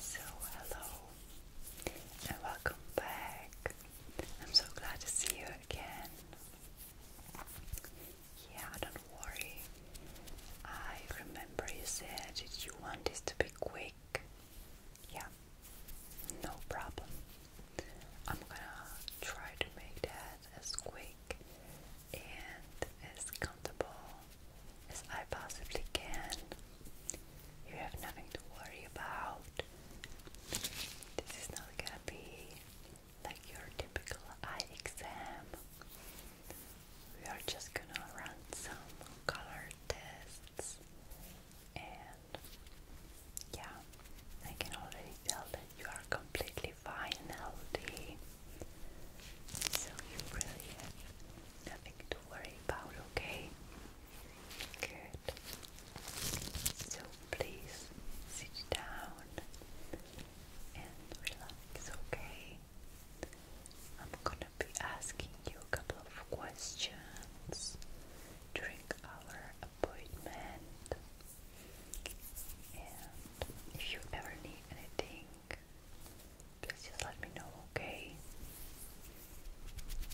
So, hello and welcome back. I'm so glad to see you again. Yeah, don't worry. I remember you said you want this to be quick. Yeah, no problem. I'm gonna try to make that as quick and as comfortable as I possibly can. You have nothing to worry about. This is not gonna be like your typical eye exam. We are just gonna run some color tests and yeah, I can already tell that you are completely finality. So you really have nothing to worry about, okay? Good. So please sit down and relax, okay? I'm gonna be asking you a couple of questions during our appointment. And if you ever need anything, please just let me know, okay?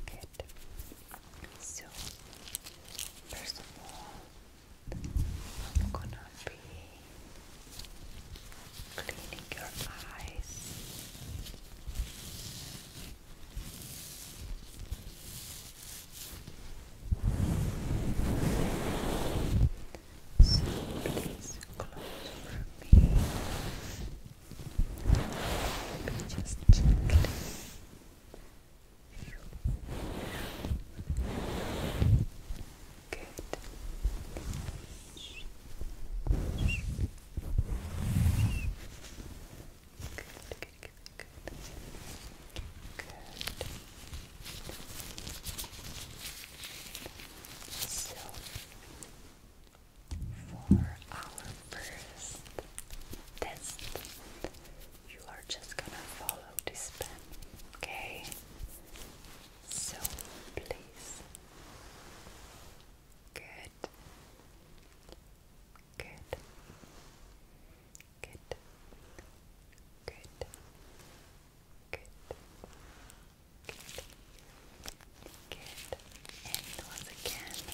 Good. So, first of all, I'm gonna be cleaning your eyes. So please close for me. Just gently. Good, good, good, Good. So, for our first test, you are just gonna follow this pen, okay? So, please. Good. Good. Good. Good. Good. Good. Good. And once again,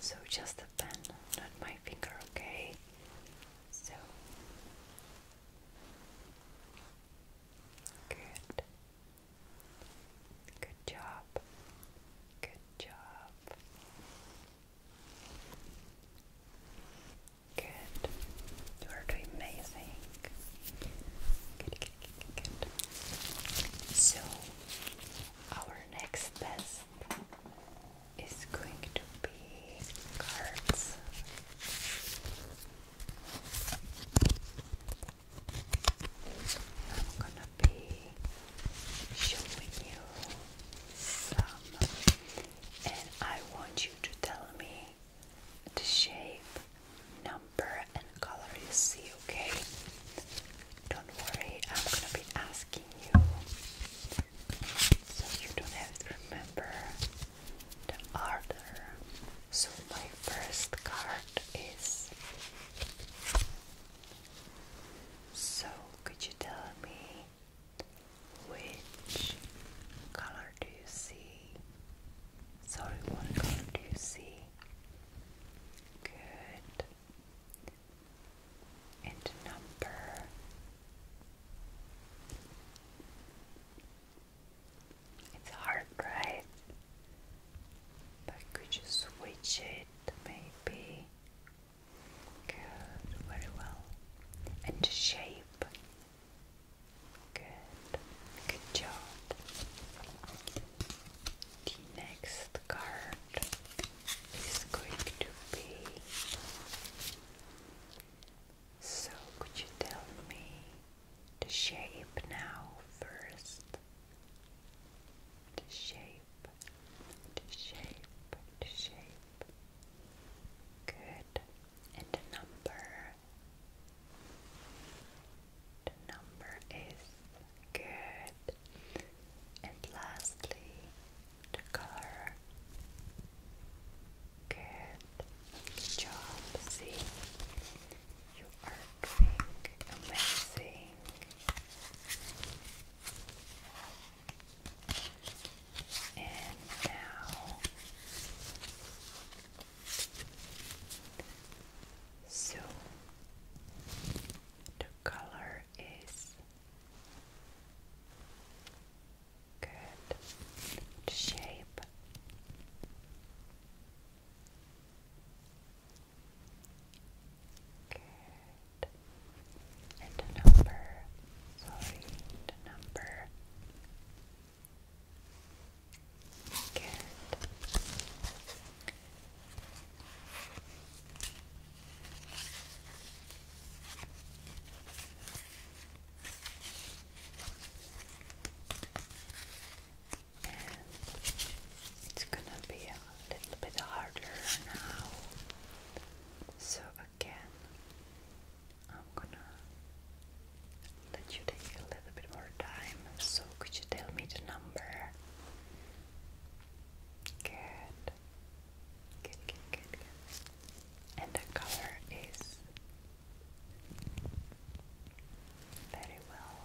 so just the pen, not my finger, okay? So. Good. Good job. Good job. Good. You are doing amazing. So, our next test is going to be cards. I'm gonna be showing you some, and I want you to tell me the shape, number, and color you see, okay? Don't worry, I'm gonna be asking you so you don't have to remember the order. So, my first card is. So, could you tell me which color do you see? Sorry, what color do you see? Good. And number. It's hard, right? But could you switch it maybe? Good, very well. And shape. Good, good job. The next card is going to be. So, could you tell me the shape now first? The shape to shape, to shape. Good. And the number. The number is good. And lastly, the color. Good. Good job. See, you are doing amazing. And now so the color is good shape Good. And number. Sorry, and number. Good. It's gonna be a little bit harder now. So again, I'm gonna let you take a little bit more time. So could you tell me the number? Good. Good, good, good, And the color is very well.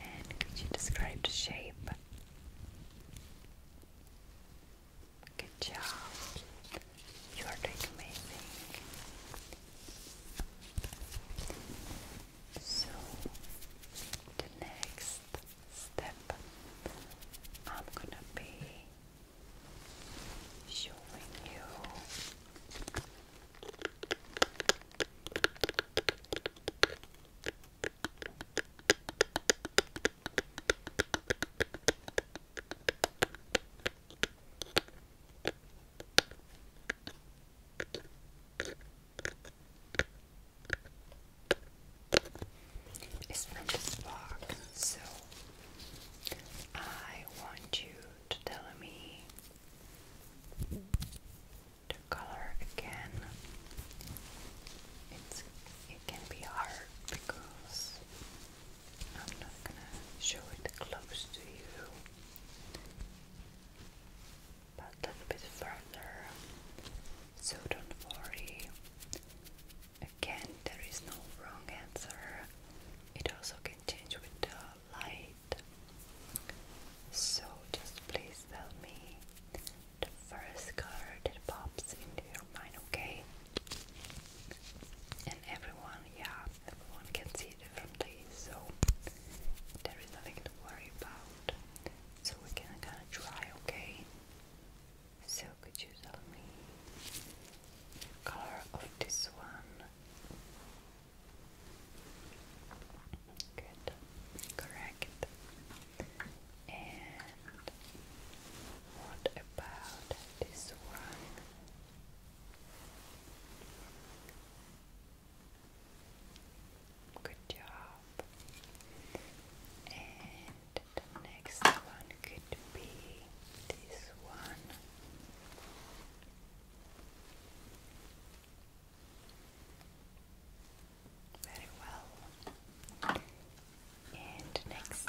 And could you describe the shape? Good job. You are doing amazing. So, the next step I'm gonna be showing you it's from this box, so I want you to tell me the color again. it can be hard because I'm not gonna show it close to you, but a little bit further. So don't worry. Again, there is no wrong answer. It also can change with the light. So just please tell me the first color that pops into your mind, okay? And everyone, yeah, everyone can see differently, so there is nothing to worry about. So we can kinda try, okay? So could you tell me color of this one? Good. Correct. And what about this one? Good job. And the next one could be this one. Very well. And next, next.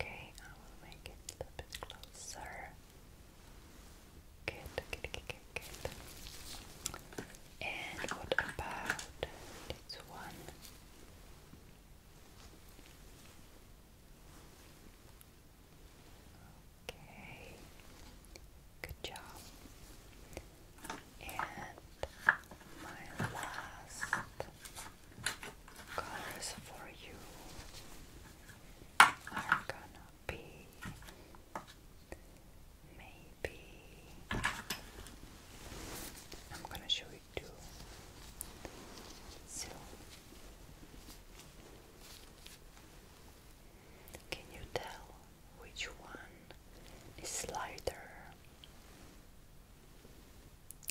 Okay, I will make it a bit closer. Good, good, good, good, And what about this one? Okay, good job. And my last colors for you are gonna be Maybe I'm gonna show you two. can you tell which one is lighter?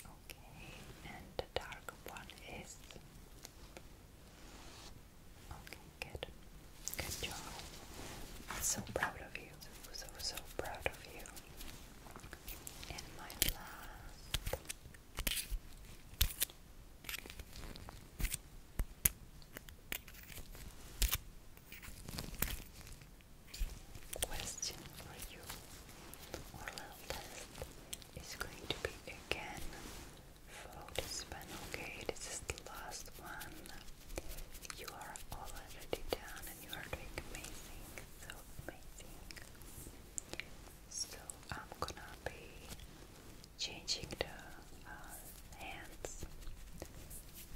Okay, and the dark one is Okay, good. Good job. I'm so proud of you. So, so proud of you. And my last. Question for you, or little is going to be again Follow this okay? This is the last one. You are already done and you are doing amazing, so amazing. So I'm gonna be changing the uh, hands,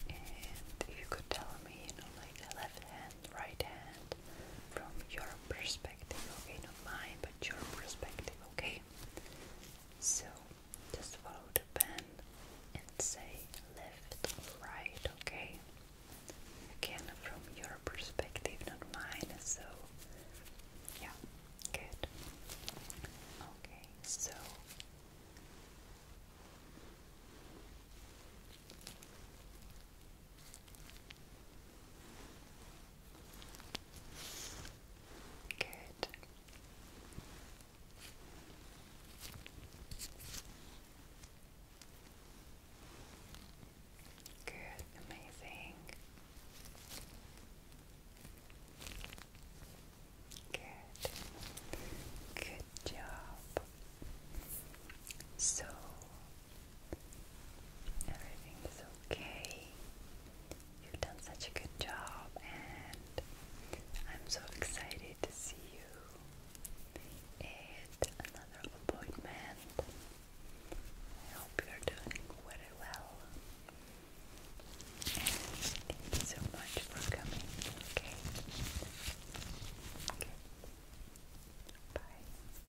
and you could tell me, you know, like left hand, right hand, from your perspective, okay? Not mine, but your perspective, okay? So just follow the pen and say left, right, okay? Again, from your perspective, not mine, so yeah, good. Okay, so Good. Good, amazing. Good. Good job. So Everything is okay. You've done such a good job, and I'm so excited to see you at another appointment. I hope you're doing very well. And thank you so much for coming, okay? Okay. Bye.